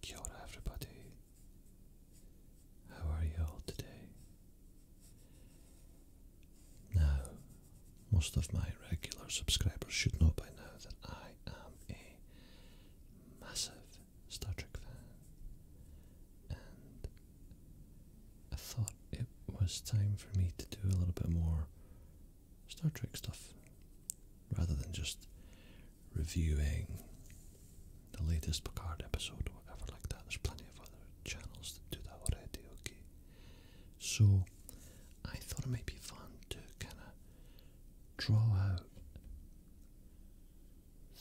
Kia ora everybody, how are you all today? Now, most of my regular subscribers should know by now that I am a massive Star Trek fan, and I thought it was time for me to do a little bit more Star Trek stuff rather than just reviewing the latest Picard episode or whatever like that. There's plenty of other channels that do that already, okay? So I thought it might be fun to kind of draw out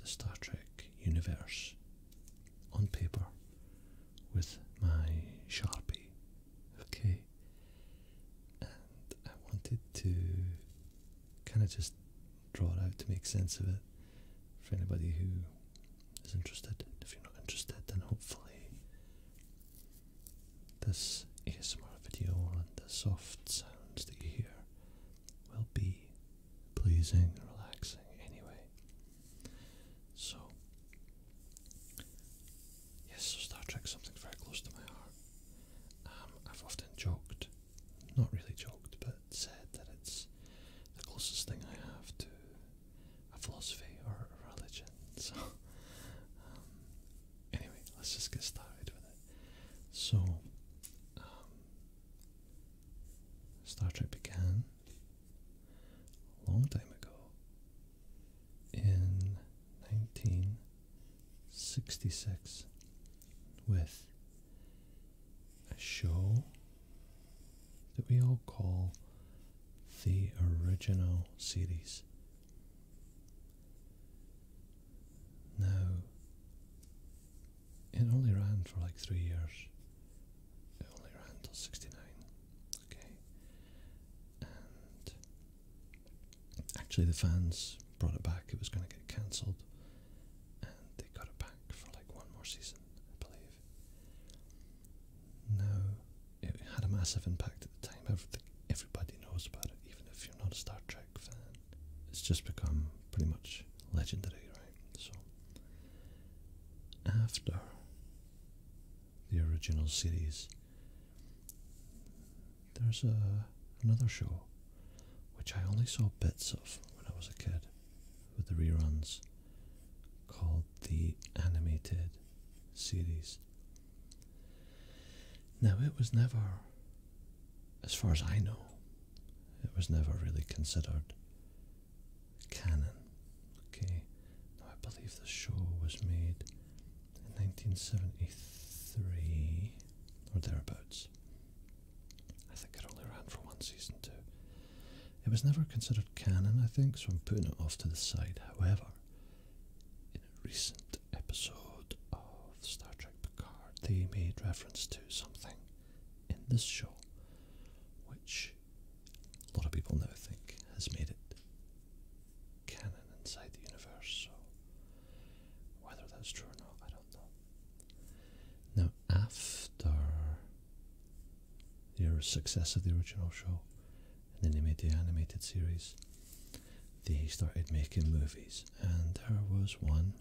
the Star Trek universe on paper with my Sharpie Okay. And I wanted to kind of just draw it out to make sense of it for anybody who is interested. If you're not interested, then hopefully this ASMR video and the soft sounds that you hear will be pleasing and relaxing anyway. So, yes, so Star Trek's something very close to my heart. Um, I've often joked, not really joked, but said that it's the closest thing I have to a philosophy or a religion. So, um, anyway, let's just get started with it. So, um, Star Trek began a long time ago in 1966 with a show that we all call the original series. Now, it only ran for like three years. It only ran till 69. Okay. And actually, the fans brought it back. It was going to get cancelled, and they got it back for like one more season, I believe. Now, it had a massive impact at the time. everybody knows about it, even if you're not a Star Trek fan. It's just become pretty much legendary, right? So, after the original series. There's a, another show which I only saw bits of when I was a kid with the reruns called the Animated Series. Now, it was never, as far as I know, it was never really considered canon. Okay, now I believe the show was made in 1973 or thereabouts. I think it only ran for one season too. It was never considered canon, I think, so I'm putting it off to the side. However, in a recent episode of Star Trek Picard, they made reference to something in this show which a lot of people now think has made it canon inside the universe. So whether that's true or not, I don't know. Now, after the success of the original show, and then they made the animated series, they started making movies, and there was one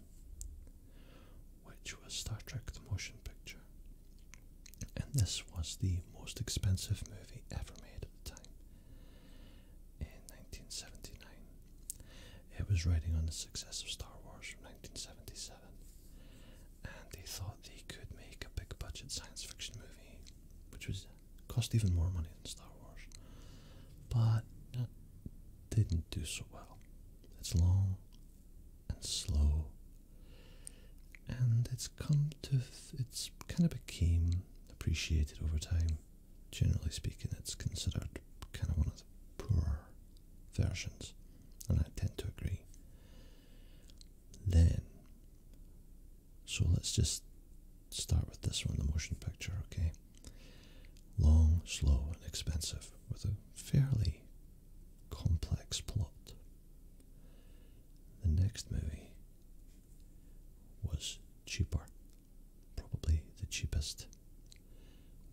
which was Star Trek The Motion Picture. And this was the most expensive movie ever made at the time. In 1979, it was riding on the success of Star Wars from 1977, and they thought they could make a big budget science fiction movie, which was cost even more money than Star Wars, but didn't do so well. It's long, and slow. And it's come to, it's kind of became appreciated over time. Generally speaking, it's considered kind of one of the poorer versions, and I tend to agree. Then, so let's just start with this one, the motion picture, okay? Long, slow, and expensive, with a fairly complex plot. The next movie was cheaper, probably the cheapest,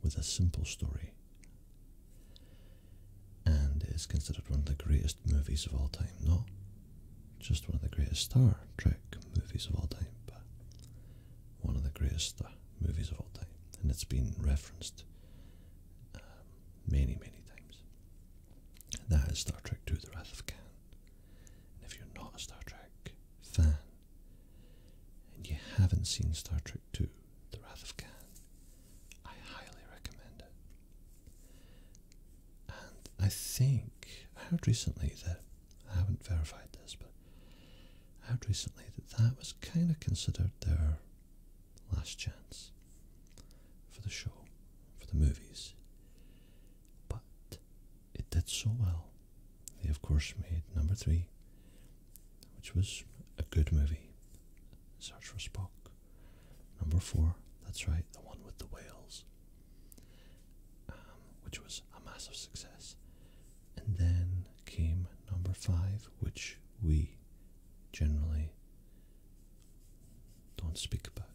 with a simple story, and is considered one of the greatest movies of all time. Not just one of the greatest Star Trek movies of all time, but one of the greatest movies of all time, and it's been referenced um, many, many times. That is Star Trek Two: The Wrath of Khan. And if you're not a Star Trek fan and you haven't seen Star Trek Two: The Wrath of Khan, I highly recommend it. And I think I heard recently that I haven't verified this, but I heard recently that that was kind of considered their last chance for the show, for the movies. But it did so well. They, of course, made number three, which was a good movie. Search for Spock. Number four, that's right, the one with the whales, um, which was a massive success. And then came number five, which we generally don't speak about.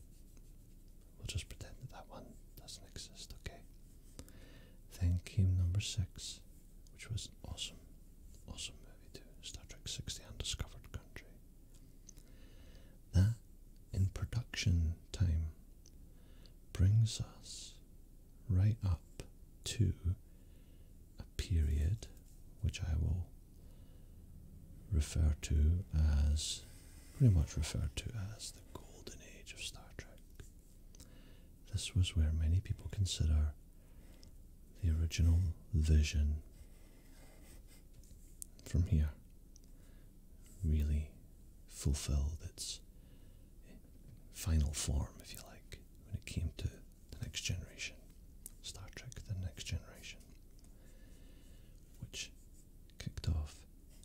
We'll just pretend that that one doesn't exist, okay? Thank you, number six, which was awesome, awesome movie too. Star Trek Sixty The Undiscovered Country. That, in production time, brings us right up to a period which I will refer to as pretty much referred to as the golden age of Star Trek. This was where many people consider the original vision from here really fulfilled its final form, if you like, when it came to the Next Generation. Star Trek The Next Generation. Which kicked off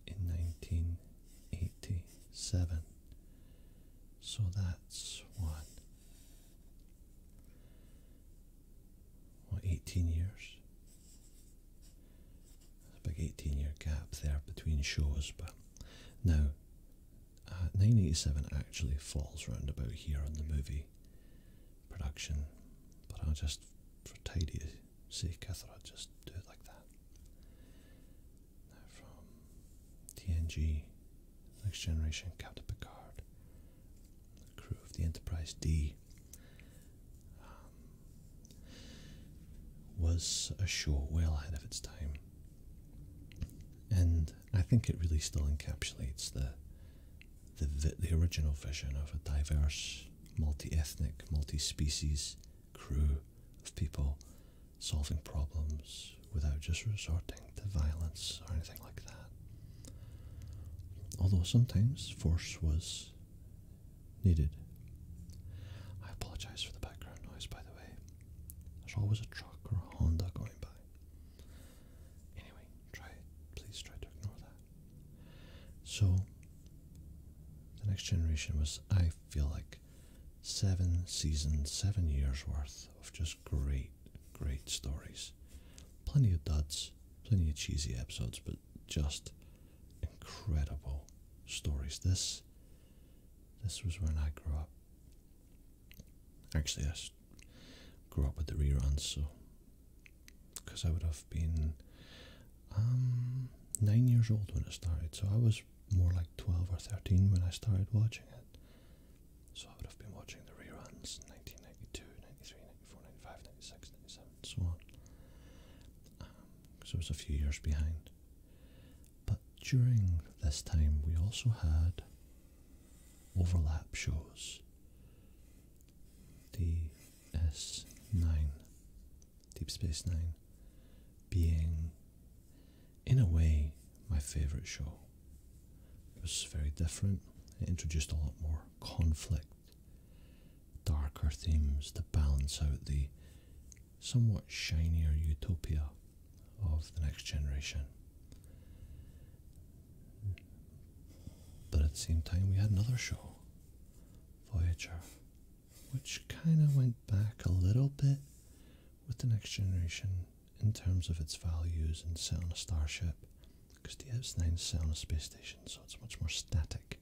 in 1987. So that's one. What, 18 years? a big 18 year gap there between shows, but now 1987 uh, actually falls round about here on the movie production, but I'll just, for tidy sake, I thought I'd just do it like that. Now from TNG, Next Generation, Captain Picard, crew of the Enterprise D, um, was a show well ahead of its time. And I think it really still encapsulates the the the original vision of a diverse, multi-ethnic, multi-species crew of people solving problems without just resorting to violence or anything like that. Although sometimes force was needed. I apologise for the background noise, by the way. There's always a truck or a Honda going by. Anyway, try please try to ignore that. So the next generation was I feel like seven seasons, seven years worth of just great, great stories. Plenty of duds, plenty of cheesy episodes, but just incredible stories. This this was when I grew up. Actually, I grew up with the reruns, so because I would have been um, nine years old when it started, so I was more like 12 or 13 when I started watching it. So I would have been watching the reruns 1992, 93, 94, 95, 96, so on. Because um, I was a few years behind. But during this time, we also had overlap shows DS9, Deep Space Nine, being in a way my favourite show. It was very different, it introduced a lot more conflict, darker themes to balance out the somewhat shinier utopia of the next generation. But at the same time, we had another show, Voyager, which kind of went back a little bit with the next generation in terms of its values and set on a starship. Because DS9 set on a space station, so it's much more static.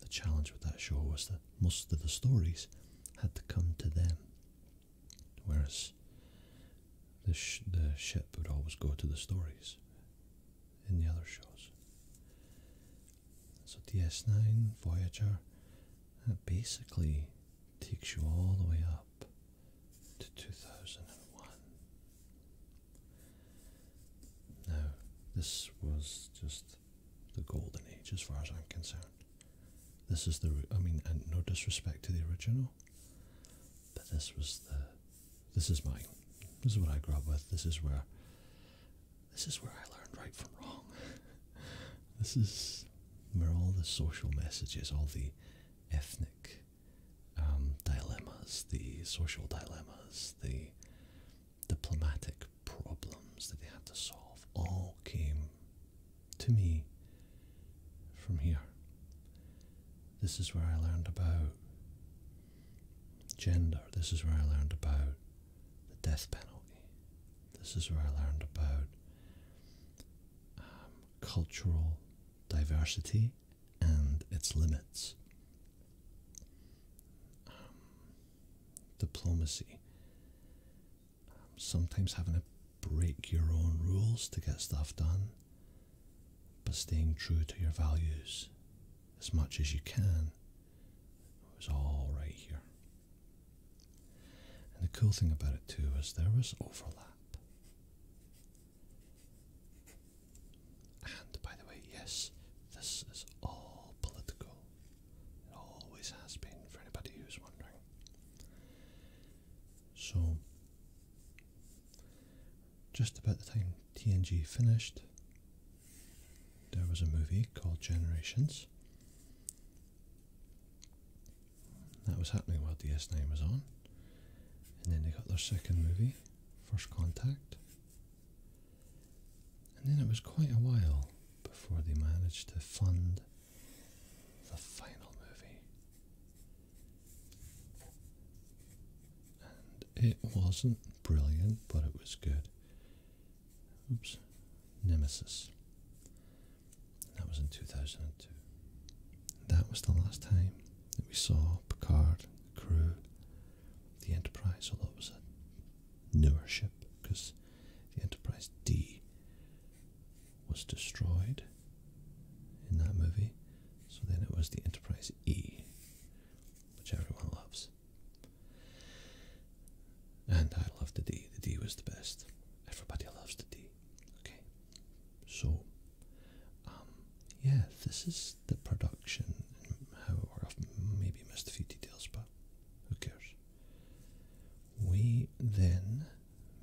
The challenge with that show was that most of the stories had to come to them Whereas the, the ship would always go to the stories in the other shows. So DS9, Voyager, basically takes you all the way up to 2001. Now, this was just the golden age as far as I'm concerned. This is the, I mean, and no disrespect to the original, but this was the, this is my, this is what I grew up with. This is where, this is where I learned right from wrong. this is where all the social messages, all the ethnic um, dilemmas, the social dilemmas, the diplomatic problems that they had to solve all came to me from here. This is where I learned about gender. This is where I learned about the death penalty. This is where I learned about um, cultural diversity and its limits. Um, diplomacy sometimes having to break your own rules to get stuff done, but staying true to your values as much as you can was all right here. And the cool thing about it too is there was overlap. And by the way, yes, this is all political. It always has been for anybody who's wondering. So, just about the time TNG finished, there was a movie called Generations. That was happening while DS9 was on. And then they got their second movie, First Contact. And then it was quite a while before they managed to fund the final movie. And it wasn't brilliant, but it was good. Oops, Nemesis. That was in 2002. That was the last time that we saw Picard, the crew, the Enterprise, although it was a newer ship because the Enterprise D was destroyed in that movie. So then it was the Enterprise E, which everyone loves. And I love the D. The D was the best. Everybody loves the D. Okay. So, um, yeah, this is the production and how it worked. i maybe missed a few details, but who cares? We then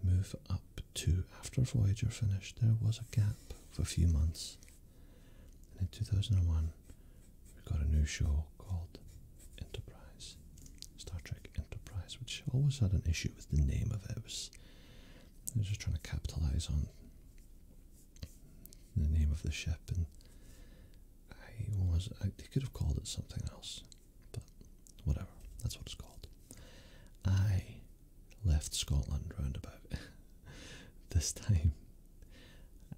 move up two after Voyager finished, there was a gap of a few months. And in 2001, we got a new show called Enterprise, Star Trek Enterprise, which always had an issue with the name of it. was, they were just trying to capitalize on the name of the ship, and I was, I, they could have called it something else. But whatever, that's what it's called. I left Scotland roundabout this time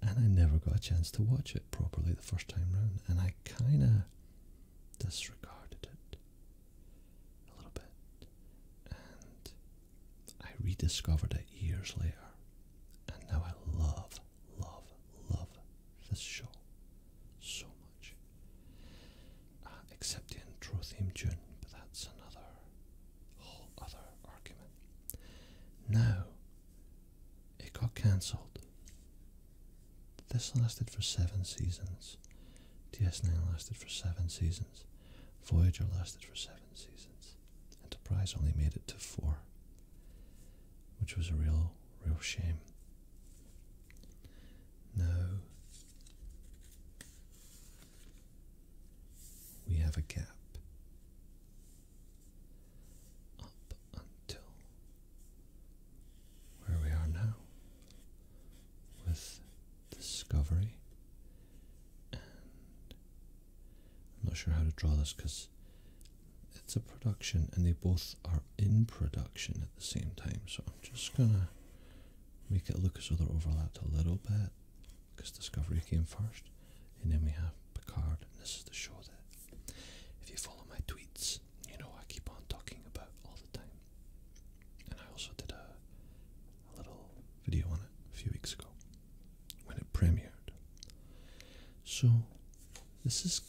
and I never got a chance to watch it properly the first time round and I kinda disregarded it a little bit and I rediscovered it years later and now I love, love, love this show so much. Uh, except in Trotheim June, but that's another whole other argument. Now, it got cancelled. This lasted for seven seasons. DS9 lasted for seven seasons. Voyager lasted for seven seasons. Enterprise only made it to four, which was a real, real shame. No. We have a gap up until where we are now with discovery. And I'm not sure how to draw this because it's a production and they both are in production at the same time. So I'm just gonna make it look as though they're overlapped a little bit because Discovery came first, and then we have Picard. And this is the show that, if you follow my tweets, you know I keep on talking about all the time. And I also did a little video on it a few weeks ago when it premiered. So this is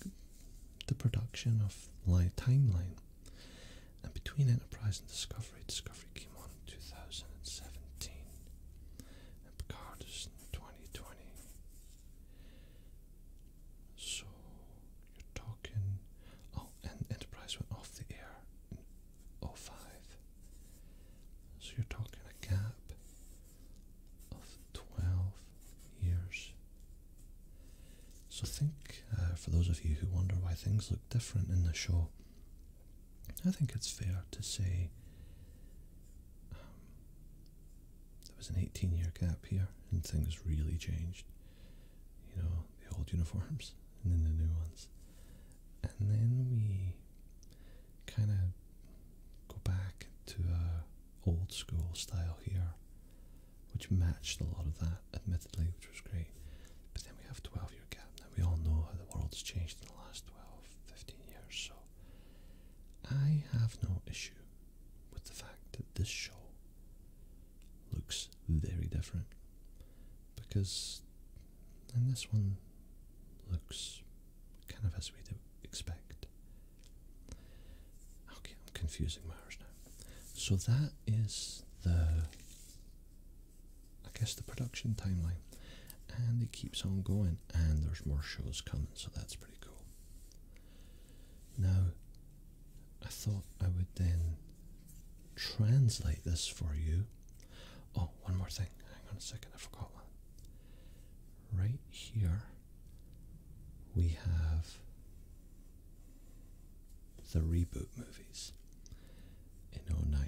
the production of my timeline and between Enterprise and Discovery, Discovery came on in 2017 and Picard is in 2020. So you're talking. Oh, and Enterprise went off the air in 05. So you're talking a gap of 12 years. So think, uh, for those of you who wonder why things look different in the show, I think it's fair to say um, there was an 18 year gap here and things really changed. You know, the old uniforms and then the new ones. And then we kind of go back to a uh, old school style here which matched a lot of that, admittedly, which was great. But then we have 12 year gap. Now, we all know how the world's changed in the last 12, 15 years, so I have no issue with the fact that this show looks very different because and this one looks kind of as we'd expect Okay, I'm confusing matters now. So that is the, I guess, the production timeline. And it keeps on going, and there's more shows coming, so that's pretty cool. Now, I thought I would then translate this for you. Oh, one more thing. Hang on a second, I forgot one. Right here, we have the reboot movies in 09.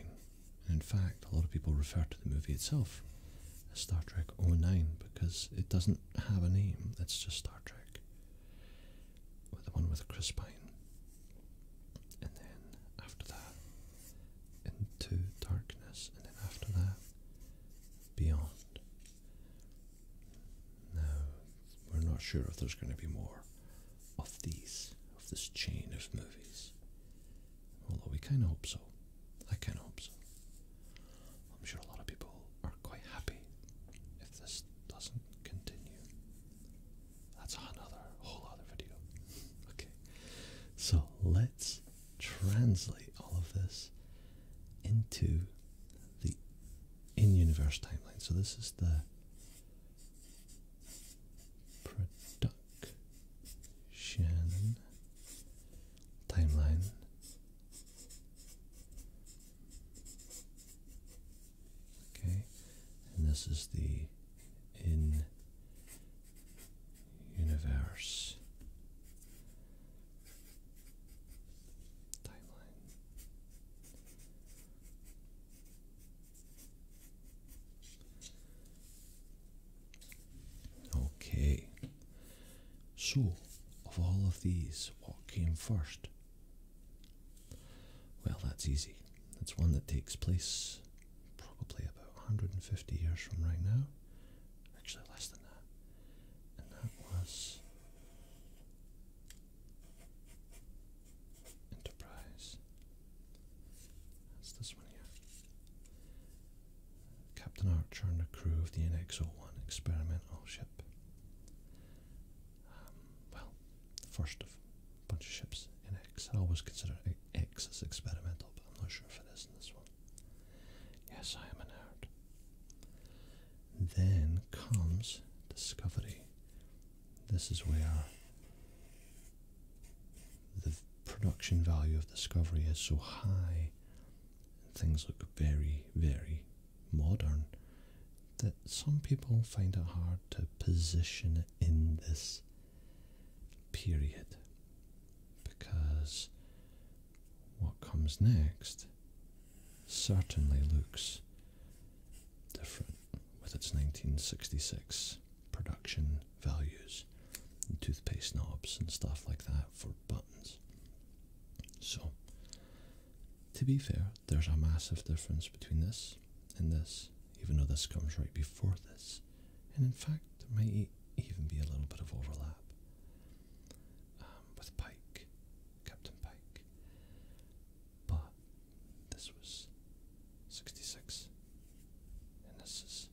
In fact, a lot of people refer to the movie itself as Star Trek 09 because it doesn't have a name, it's just Star Trek. With the one with Chris Pine. And then after that, Into Darkness, and then after that, Beyond. Now, we're not sure if there's going to be more of these, of this chain of movies. Although we kind of hope so. I kind of hope so. I'm sure a lot of people are quite happy if this doesn't continue. That's another whole other video. okay. So let's translate all of this into the in-universe timeline. So this is the production timeline. Okay, and this is the in universe timeline. Okay, so of all of these, what came first? Well, that's easy. It's one that takes place probably about 150 years from right now, actually less than that, and that was Enterprise. That's this one here. Captain Archer and the crew of the NX-01 experimental ship. Um, well, first of a bunch of ships, NX. I always consider X as experimental, but I'm not sure if it is in this one. Yes, I am an art. Then comes discovery. This is where the production value of discovery is so high, and things look very, very modern, that some people find it hard to position it in this period because what comes next certainly looks different with its 1966 production values and toothpaste knobs and stuff like that for buttons. So, to be fair, there's a massive difference between this and this, even though this comes right before this, and in fact, there might even be a little bit of overlap. Um, with Pike, Captain Pike. But this was 66, and this is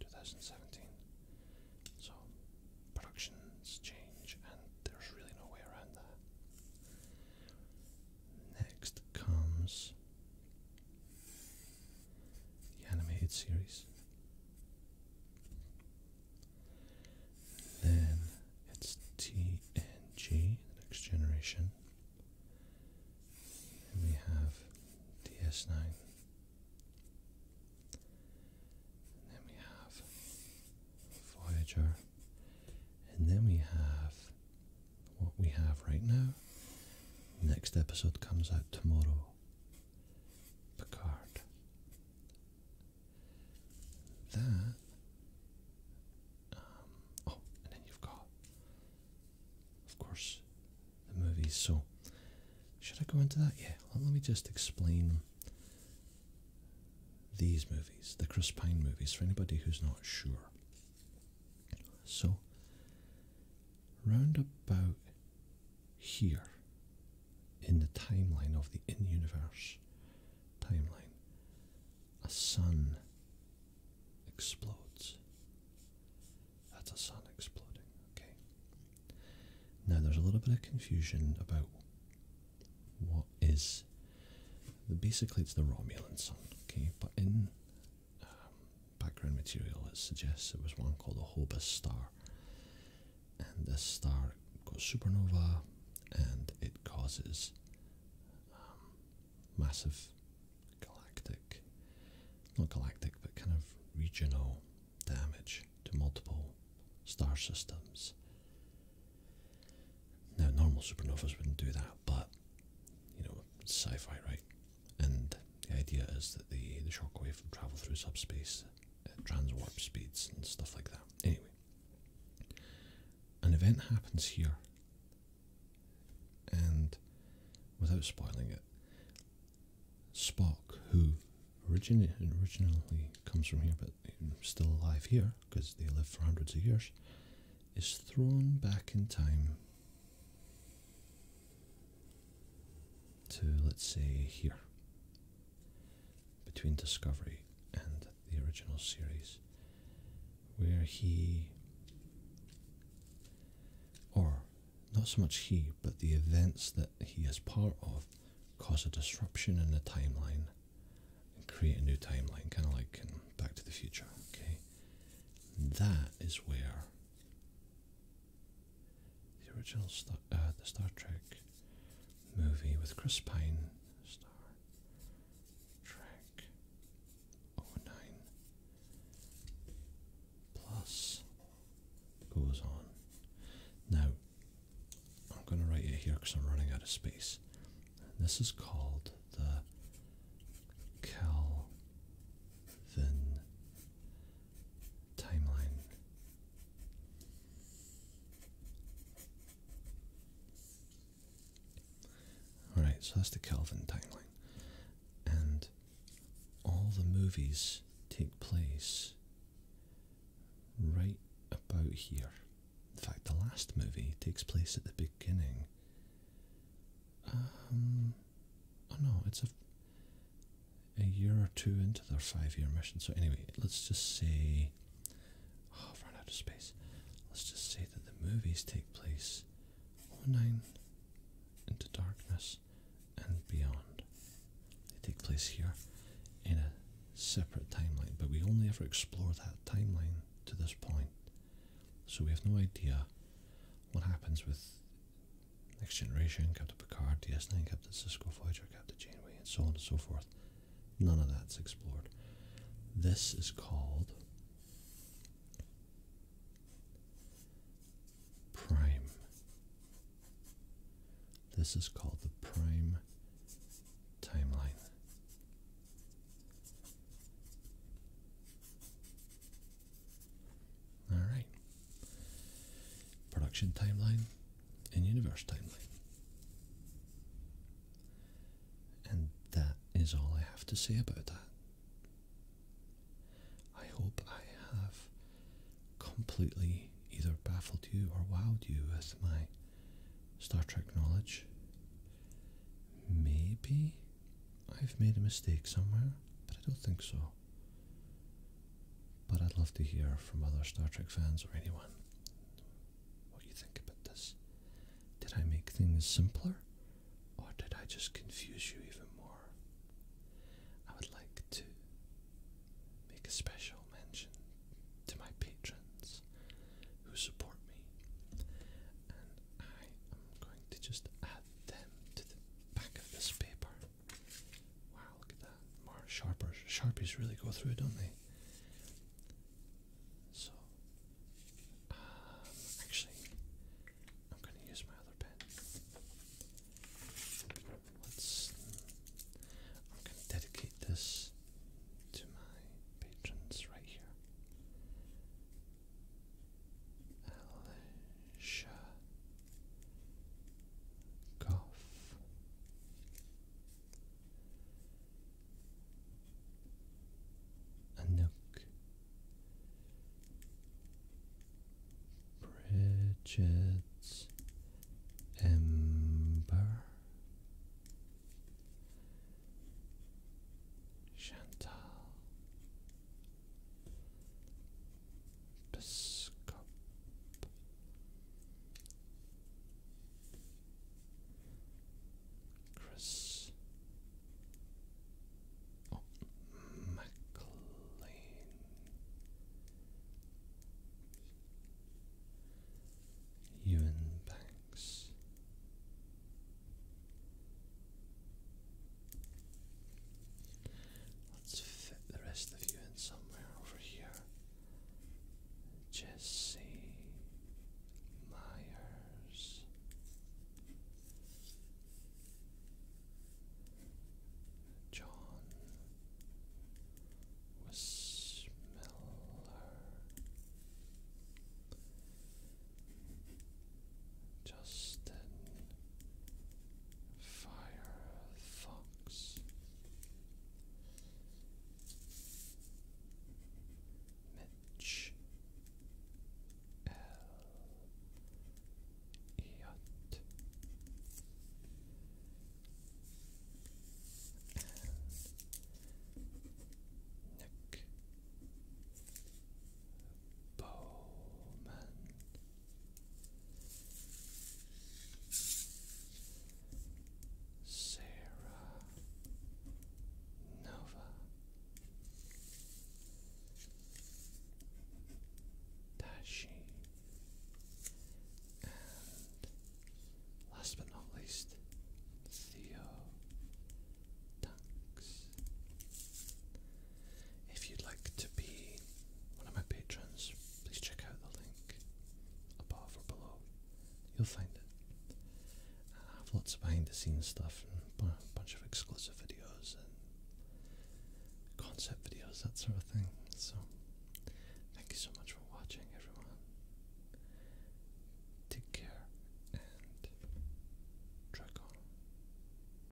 2017. So productions change, and there's really no way around that. Next comes the animated series. Then it's TNG, the next generation. we have DS9. then we have Voyager. And then we have what we have right now. Next episode comes out tomorrow. Picard that. Um, oh, and then you've got, of course, the movies. So, should I go into that? Yeah, let me just explain these movies, the Chris movies, for anybody who's not sure. So, round about here in the timeline of the in universe timeline, a sun explodes. That's a sun exploding, okay? Now there's a little bit of confusion about what is. Basically, it's the Romulan sun, okay? But in um, background material, it suggests it was one called the Hobus star and the star goes supernova and it causes um, massive galactic, not galactic, but kind of regional damage to multiple star systems. Now, normal supernovas wouldn't do that, but you know, sci fi, right? And the idea is that the, the shockwave will travel through subspace at transwarp speeds and stuff like that. Anyway, an event happens here, and without spoiling it, Spock, who origin originally comes from here but still alive here because they live for hundreds of years, is thrown back in time to, let's say, here, between Discovery and the original series, where he, or not so much he, but the events that he is part of, cause a disruption in the timeline and create a new timeline, kind of like Back to the Future, okay? That is where the original Star, uh, the Star Trek movie with Chris Pine. Star Trek 09 plus goes on. Now, I'm going to write it here because I'm running out of space. This is called the Calvin timeline. Alright, so that's the Kelvin timeline. And all the movies take place right about here. In fact, the last movie takes place at the beginning. Um, oh no, it's a a year or two into their five-year mission. So anyway, let's just say, I've oh, run out of space. Let's just say that the movies take place 09 into darkness and beyond. They take place here in a separate timeline, but we only ever explore that timeline to this point. So we have no idea what happens with Next Generation, Captain Picard, DS9, Captain Cisco, Voyager, Captain Janeway, and so on and so forth. None of that's explored. This is called prime. This is called the prime timeline. All right production timeline and universe timeline. And that is all I have to say about that. I hope I have completely either baffled you or wowed you with my Star Trek knowledge. Maybe I've made a mistake somewhere, but I don't think so. But I'd love to hear from other Star Trek fans or anyone what you think about this. Did I make things simpler or did I just confuse you even more? I would like to make a special mention to my patrons who support me, and I am going to just add them to the back of this paper. Wow, look at that. More sharpers. Sharpies really go through, don't they? So, um, actually, I'm going to use my other pen. Let's. I'm going to dedicate this to my patrons right here. Alicia cough. A nook, Ember, Chantal, Biscop. Chris McLean Ewan Banks Let's fit the rest of you in somewhere over here. Jesse Myers. John Wismiller. Justin Firefox Mitch L. Iot Nick Bowman Sarah Nova Dashi and last but not least Theo Dunks. If you'd like to be one of my patrons, please check out the link above or below. You'll find it. I have lots of behind the scenes stuff and a bunch of exclusive videos and concept videos, that sort of thing. So, thank you so much for watching, everyone. Take care and track on.